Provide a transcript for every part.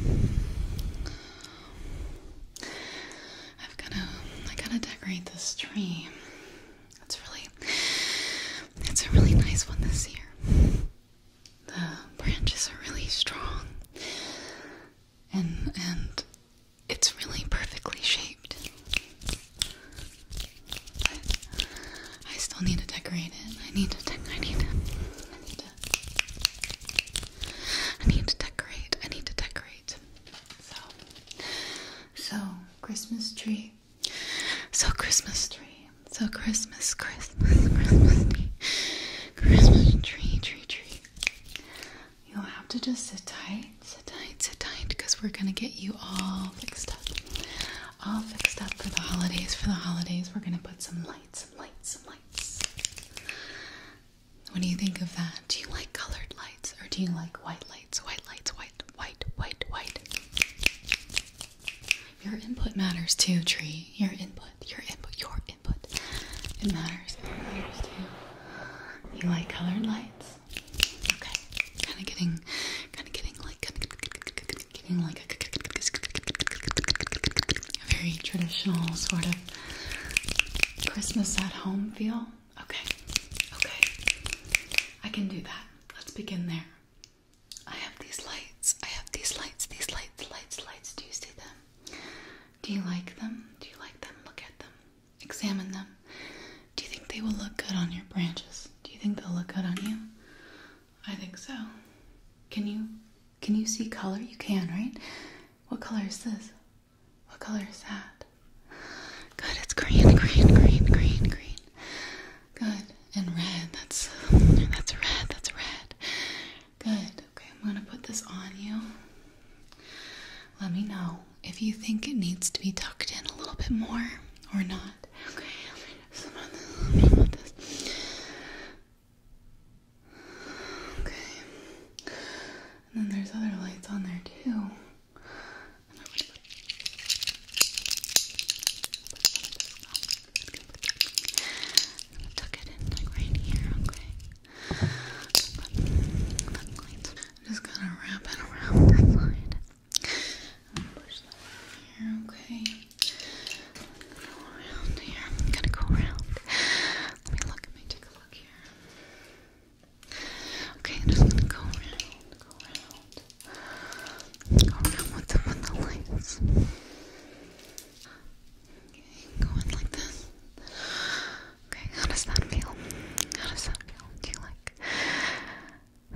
I've gotta, I gotta decorate this tree. It's really, it's a really nice one this year. The branches are really strong, and and it's really perfectly shaped. But I still need to decorate it. I need to, I need to, I need to I need to decorate. I need to decorate. So, so Christmas tree. So Christmas tree. So Christmas, Christmas, Christmas tree. Christmas tree, tree, tree. You'll have to just sit tight, sit tight, sit tight, because we're gonna get you all fixed up. All fixed up for the holidays. For the holidays, we're gonna put some lights, some lights, some lights. What do you think of that? Do you like colored lights or do you like white lights? White lights, white, white, white, white. Your input matters too, tree. Your input, your input, your input. It matters. It matters too. You like colored lights? Okay. Kind of getting, kind of getting like, getting like a very traditional sort of Christmas at home feel. Okay, okay, I can do that. Let's begin there. I have these lights. I have these lights. These lights, lights, lights. Do you see them? Do you like them? Do you like them? Look at them. Examine them. Do you think they will look good on your branches? Do you think they'll look good on you? I think so. Can you can you see color? You can, right? What color is this? What color is that? Good, it's green, green, green, green, green. Good. And red. That's that's red. That's red. Good. Okay, I'm gonna put this on you. Let me know if you think it needs to be tucked in a little bit more or not. Okay, Okay. And then there's other lights on there too. I'm gonna tuck it in like right here, okay? just gonna wrap it around the side. push that here, okay? Go around here. I'm gonna go around. Let me look. Let me take a look here. Okay, just gonna go around. Go around. Go around with the, with the lights. go in like this. Okay, how does that feel? How does that feel? Do you like?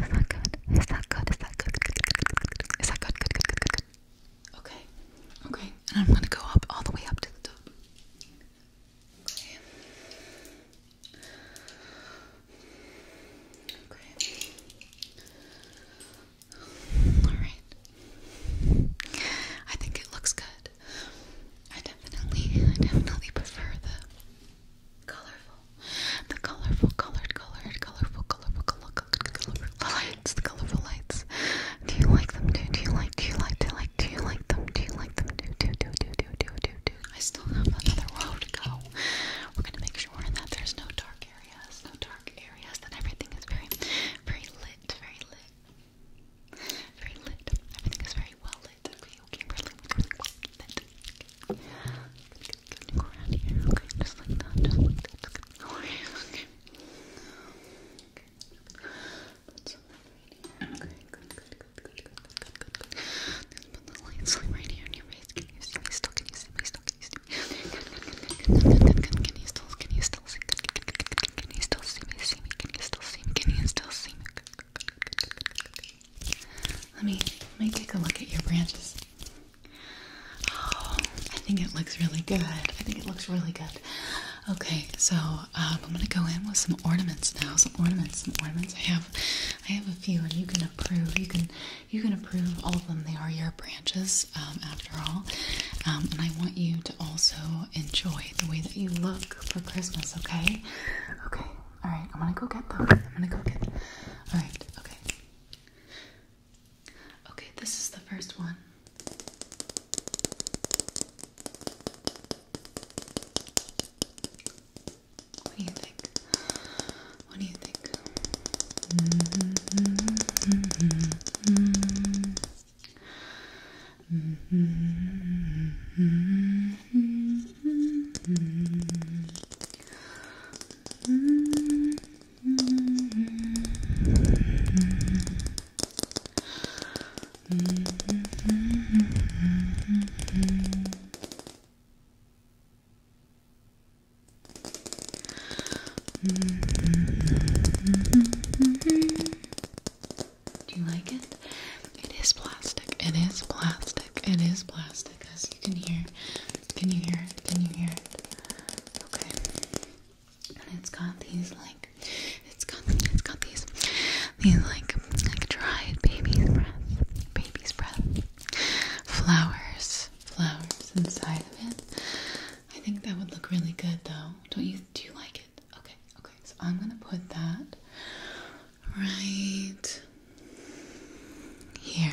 Is that good? Is that good? Is that good? good? Good, good, good, good, good. Okay, okay, and I'm gonna go up all the way up to the top. Okay. Okay. Alright. I think it looks good. I definitely, definitely prefer the colorful, the colorful, colored, colored, colorful, colorful, lights, the colorful lights. Do you like them too? Do you like, do you like, do you like, do you like them? Do you like them too? Do, do, do, do, do, do, do. I still have another row to go. We're gonna make sure that there's no dark areas, no dark areas, that everything is very, very lit, very lit. Very lit. Everything is very well lit. Okay, really, really well go around here. Okay, just like that, just like that. Okay, okay. Okay. Put some right here. Okay, good, good, good, good, good, good, good, good. Let's put the light slime right here on your face. Can you see me still? Can you see me still? Can you see me? Good, good, good, good, good, good, good, good. Can you still? Can you still see? Good, good, good, good, good. Can you still see me? See me? Can you still see me? Can you still see me? Good, good, good, good, good, good, good. Let me, let me take a look at your branches. Okay. I think it looks really good. I think it looks really good. Okay, so um, I'm gonna go in with some ornaments now. Some ornaments, some ornaments. I have, I have a few, and you can approve. You can, you can approve all of them. They are your branches, um, after all. Um, and I want you to also enjoy the way that you look for Christmas. Okay, okay. All right, I'm gonna go get them. I'm gonna go get. Them. All right, okay. Okay, this is the first one. What do you think? What do you think? Do you like it? It is plastic. It is plastic. It is plastic. As you can hear. Can you hear it? Can you hear it? Okay. And it's got these like it's got it's got these these like like dried baby's breath. Baby's breath. Flowers. Flowers inside of it. I think that would look really good though. Don't you do you like it? Okay, okay. So I'm gonna put that right here.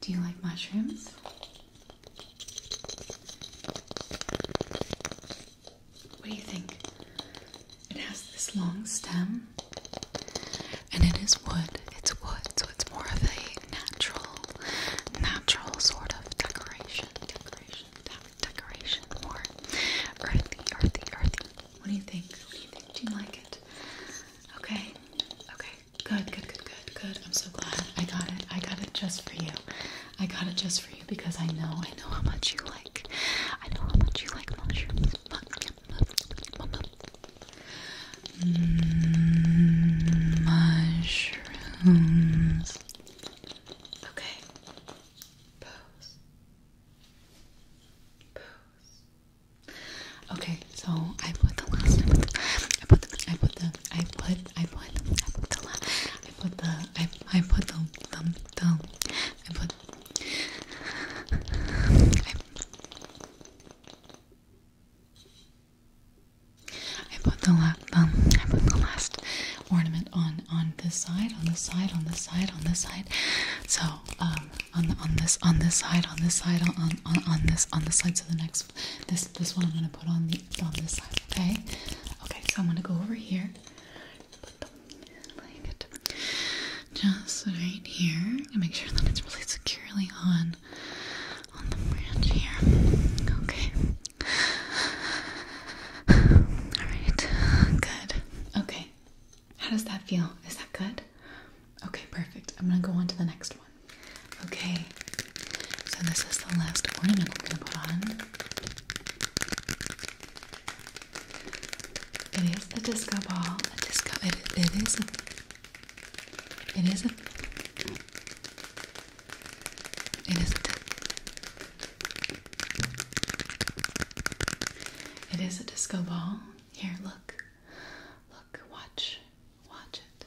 Do you like mushrooms? What do you think? It has this long stem and it is wood. It's wood, so it's more of a natural, natural sort of decoration. Decoration, decoration, more earthy, earthy, earthy. What do you think? What do you think? Do you like it? Okay, okay. Good, good, good, good, good. I'm so glad I got it. I got it just for you. I got it just for you because I know, I know how much you like. I know how much you like mushrooms. Mm, mushrooms. Okay. Pose. Pose. Okay, so I put the last. I put the. I put the. I put. I put. I put the. I put the. I. put the. I I, put the la I put the last ornament on on this side, on this side, on this side, on this side. So um, on on this on this side, on this side, on on on this on this side. So the next this this one I'm gonna put on the on this side, okay? Okay, so I'm gonna go over here. just right here make sure that it's really securely on on the branch here. Okay. Alright, good. Okay. How does that feel? Is that good? Okay, perfect. I'm gonna go on to the next one. Okay, so this is the last ornament we're gonna put on. It is a disco ball. A disco. it is. it is It is. it is a disco ball. Here, look. Look. Watch. Watch it.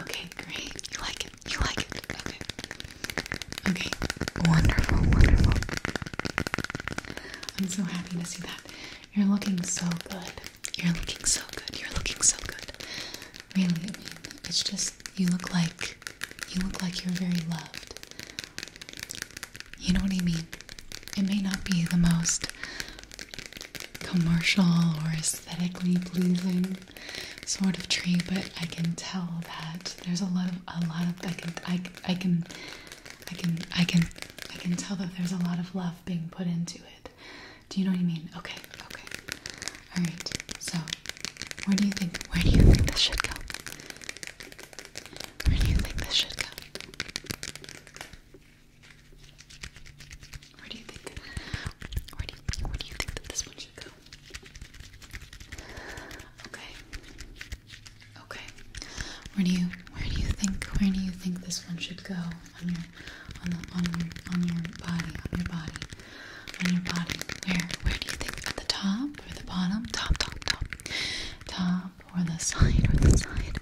Okay, great. You like it. You like it. Okay. Okay. Wonderful, wonderful. I'm so happy to see that. You're looking so good. You're looking so good. You're looking so good. Really, I mean, it's just you look like you look like you're very loved. You know what I mean? It may not be the most commercial or aesthetically pleasing sort of tree, but I can tell that there's a lot of a lot of I can I, I can I can I can I can tell that there's a lot of love being put into it. Do you know what I mean? Okay, okay. All right. So, where do you think where do you think this should go? Where do you think this should go? Where do you think? Where do you, where do you think that this one should go? Okay. Okay. Where do you where do you think where do you think this one should go on your on the on your on your body on your body on your body? Where where do you think at the top or the bottom? Top top top top or the side or the side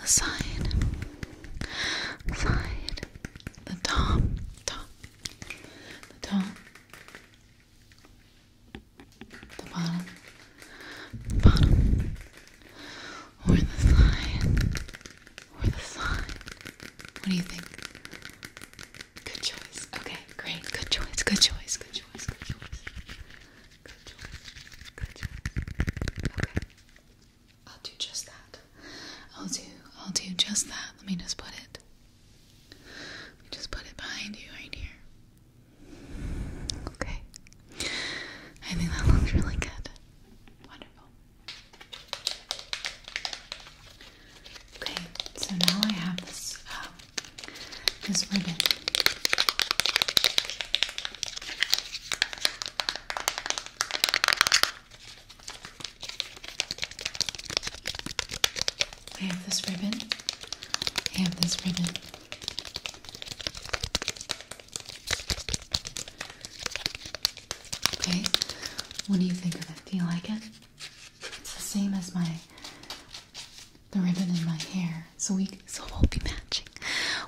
the side side, the top, top, the top, the bottom, the bottom, or the side, or the side. What do you think? Good choice. Okay, great. Good choice. Good choice. Good choice. Good choice. Good choice. Good choice. Okay. I'll do just that. I'll do I'll do just that. Let me just put it. just put it behind you right here. Okay. I think that looks really good. Wonderful. Okay, so now I have this um, this ribbon. I have this ribbon. I have this ribbon. Okay, what do you think of it? Do you like it? It's the same as my the ribbon in my hair, so we so we'll be matching.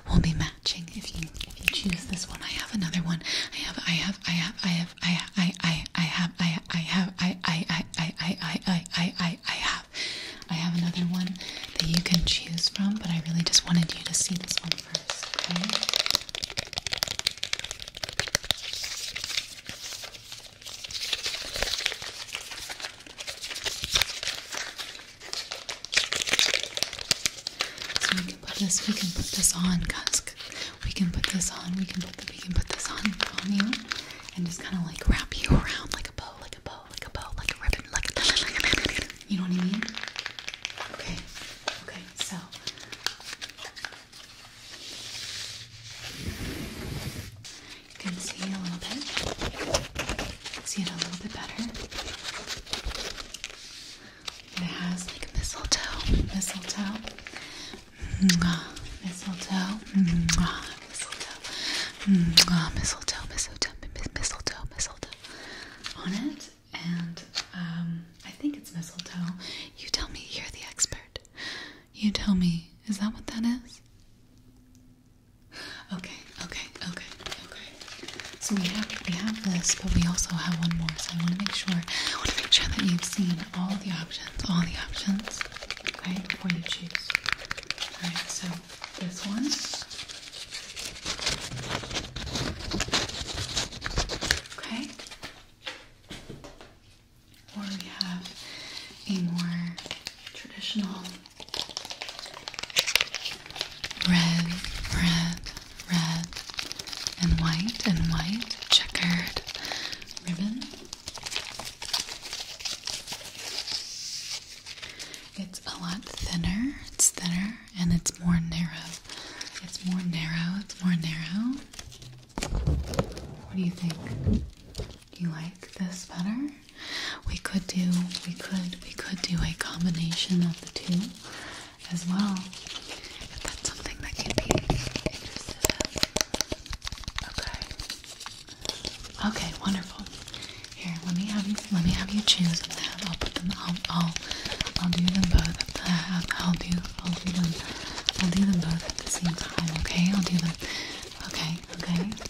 We'll be matching matching if you if you choose this one. I have another one. I have I have I have I have I I I I have I I have I I I I I I I I I have I have another one that you can choose from, but I really just wanted you to see this one first, okay? So we can put this, we can put this on, guys. We can put this on, we can put we can put this on, you, and just kind of like wrap you around like a bow, like a bow, like a bow, like a ribbon, like a, like a ribbon. You know what I mean? Okay. Okay. So. You can see a little bit. See it a little bit better. It has like mistletoe, mistletoe, Mwah. mistletoe, mistletoe, mistletoe, mistletoe, mistletoe, mistletoe on it, and um, I think it's mistletoe. You tell me, you're the expert. You tell me, is that what that is? Okay, okay, okay, okay. So we have we have this, but we also have one more. So I want to make sure I want to make sure that you've seen all the options, all the options, okay, before you choose. All right, so this one. Okay. Or we have a more traditional Red, red, red, and white, and white, checkered ribbon. It's a lot thinner, it's thinner, and it's more narrow. It's more narrow, it's more narrow. What do you think? Do you like this better? We could do we could we could do a combination of the two as well. If that's something that you be Okay. Okay, wonderful. Here, let me have you let me have you choose I'll I'll I'll, do them both at the I'll do I'll do them I'll do them both at the same time, okay? I'll do them okay, okay.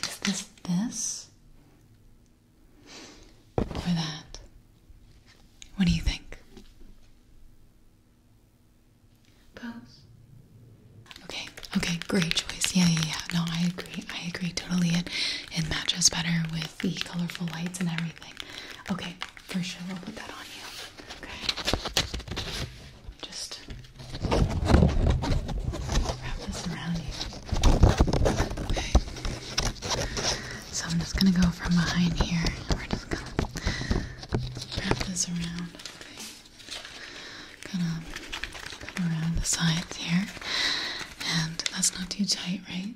is this this? Or that? What do you think? Pose. Okay, okay, great choice. Yeah, yeah, yeah. No, I agree. I agree totally. It it matches better with the colorful lights and everything. Okay, for sure we'll put that on you. Okay. Just wrap this around you. So I'm just gonna go from behind here. We're just gonna wrap this around. Okay. going around the sides here. And that's not too tight, right?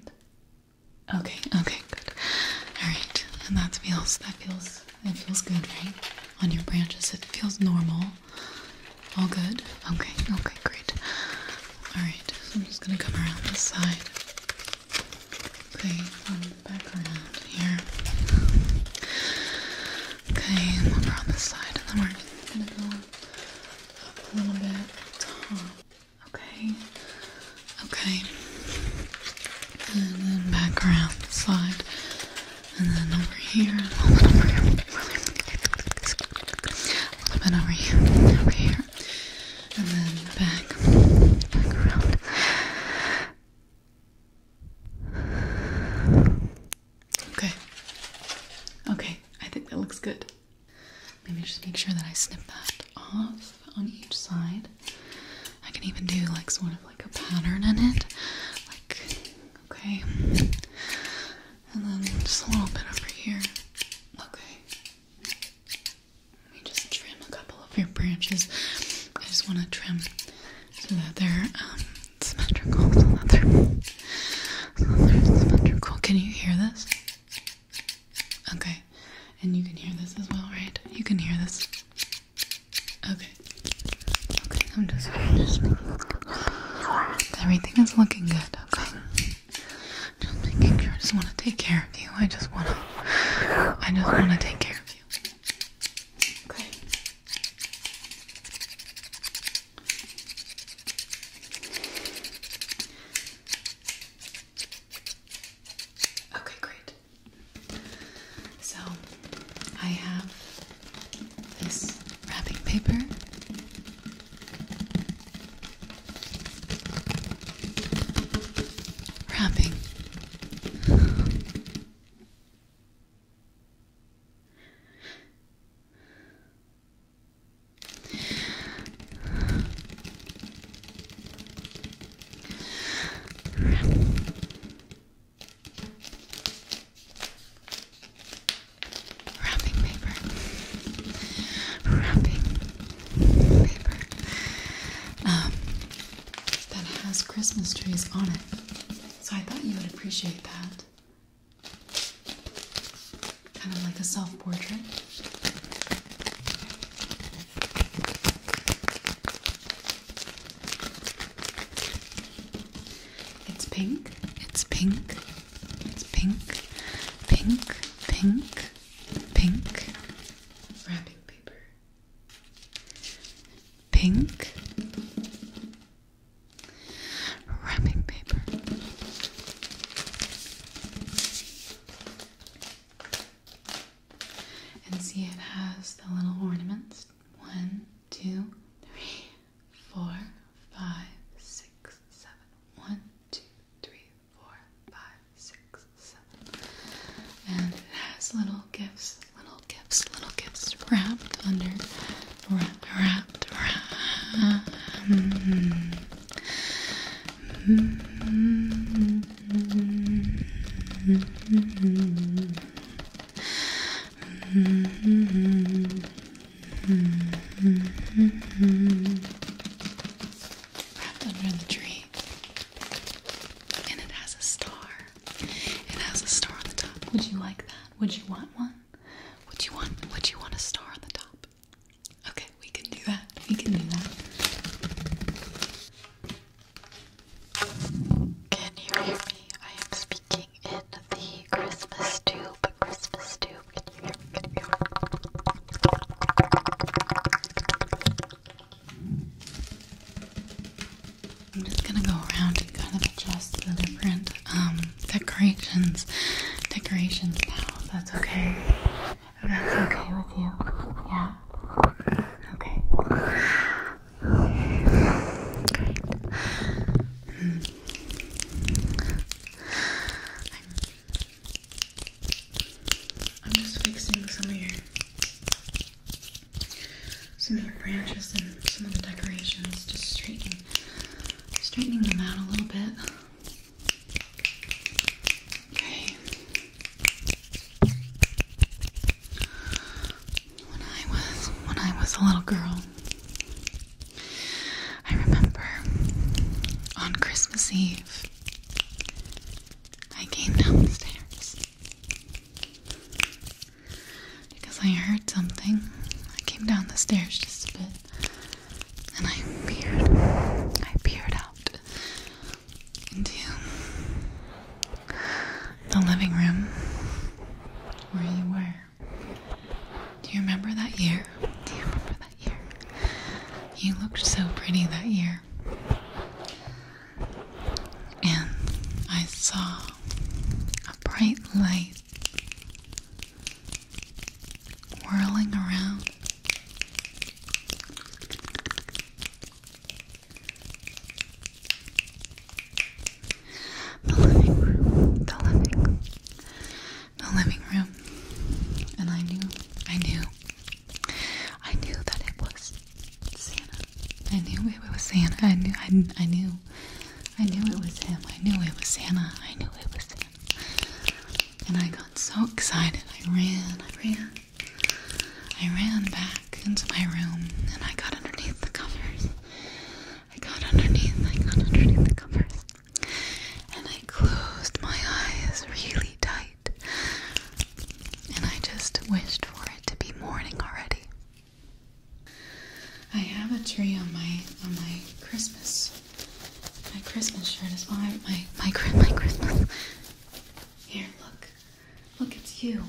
Okay, okay, good. Alright, and that feels that feels it feels good, right? On your branches. It feels normal. All good? Okay, okay, great. Alright, so I'm just gonna come around this side. Okay, back around here. Okay, over on this side, and then we're just gonna go a little bit top. Okay, okay. And then back around the side and then over here, a little bit over here, a little bit over here, over here, and then back, back around. Okay. Okay, I think that looks good. Maybe just make sure that I snip that off on each side. I can even do like sort of like a pattern in it, like Okay. And then just a little bit over here. Okay. Let me just trim a couple of your branches. I just want to trim so that they're um, symmetrical. So they're, so that they're symmetrical. Can you hear this? Okay. And you can hear this as well, right? You can hear this. Okay. Okay, I'm just, just making everything is looking good, okay? Just making sure I just wanna take care of you. I just wanna I just wanna take care of you. Okay. Okay, great. So I have this wrapping paper. Wrapping. Wrapping paper. Wrapping paper. Um, that has Christmas trees on it. So I thought you would appreciate that. Kind of like a self portrait. It's pink, it's pink, it's pink, pink, pink, pink wrapping paper. Pink wrapping paper. And see, it has the little ornaments. One, two, three, four, five, six, seven. One, two, three, four, five, six, seven. And it has little gifts, little gifts, little gifts wrapped under, wrapped, wrapped, wrapped. Mm -hmm. Mm -hmm under the tree. And it has a star. It has a star on the top. Would you like that? Would you want one? Would you want would you want a star on the top? Okay, we can do that. We can do that. Can you hear me? I am speaking in the Christmas tube. Christmas tube. Can you hear me? I'm just gonna go around and kind of adjust the different um, decorations. Decorations now, that's okay. that's okay Yeah. Okay. I'm just fixing some of your some of your branches and some of the decorations, just straightening straightening them out a little bit. Okay. When I was when I was a little girl, I remember on Christmas Eve I came downstairs because I heard something. I came down the stairs just a bit and I peered I peered out into the living room where you were. Do you remember that year? Do you remember that year? You looked so pretty that year. And I saw a bright light whirling around. The living room. The living room. The living room. And I knew, I knew, I knew that it was Santa. I knew it was Santa. I knew, I, I knew, I knew it was him. I knew it was Santa. I knew it was Santa. And I got so excited. I ran, I ran, I ran back into my room and I got underneath the covers. I got underneath, I got underneath the covers. And I closed my eyes really tight. And I just wished for it to be morning already. I have a tree on my on my Christmas my Christmas shirt is why my my my Christmas. Here, look, look, it's you.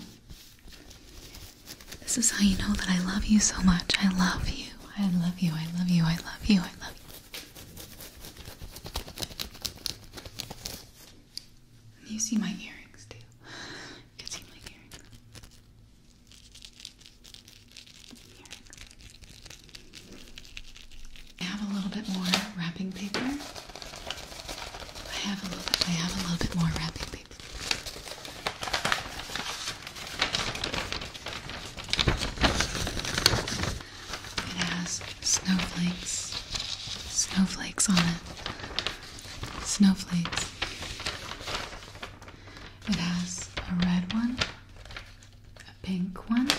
This is how you know that I love you so much. I love you. I love you. I love you. I love you. I love you. You see my earrings too. You can see my earrings. I have a little bit more wrapping paper. I have a little bit, more wrapping paper. It has snowflakes, snowflakes on it, snowflakes. It has a red one, a pink one,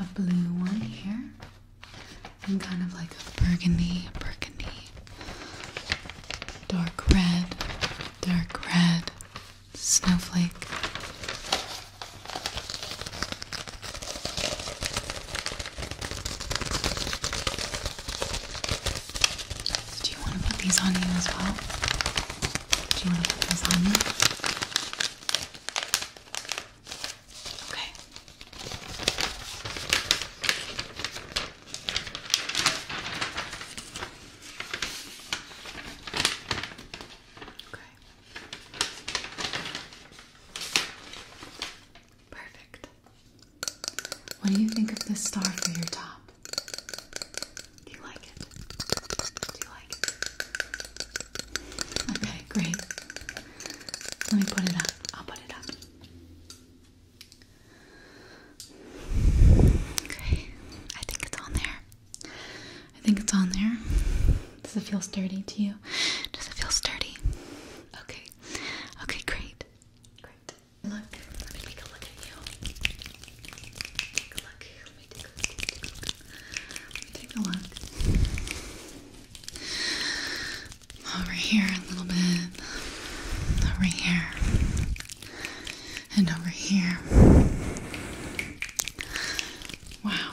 a blue one here, i kind of like a burgundy, burgundy, dark red, dark red snowflake. do you want to put these on you as well? Do you want to put these on you? Okay. Okay. Perfect. What do you think of this star for your top? Do you like it? Do you like it? Okay, great. Let me put it up. I'll put it up. Okay. I think it's on there. I think it's on there. Does it feel sturdy to you? Does it feel sturdy? Okay. Okay, great. Great. Look, let me take a look at you. Take a look. Let me take a look over here a little bit, over here, and over here. Wow,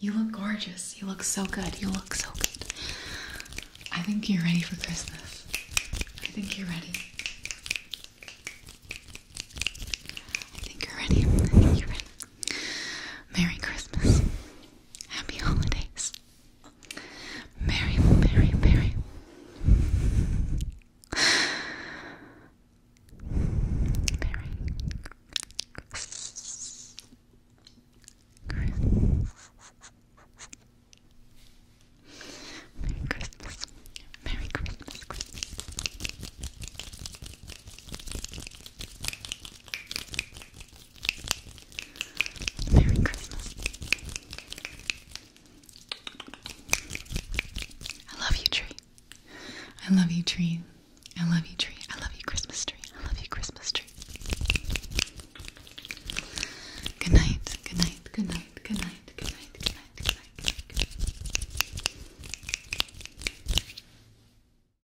you look gorgeous. You look so good. You look so good. I think you're ready for Christmas. I think you're ready. I think you're ready. I think you're ready. Merry Christmas. Happy holidays. Merry, merry, merry. Merry Christmas. Merry Christmas. Merry Christmas. I love you, tree. I love you, tree. I love you, tree. I love you, Christmas tree. I love you, Christmas tree. Good night, good night, good night, good night, good night, good night, good night. Good night.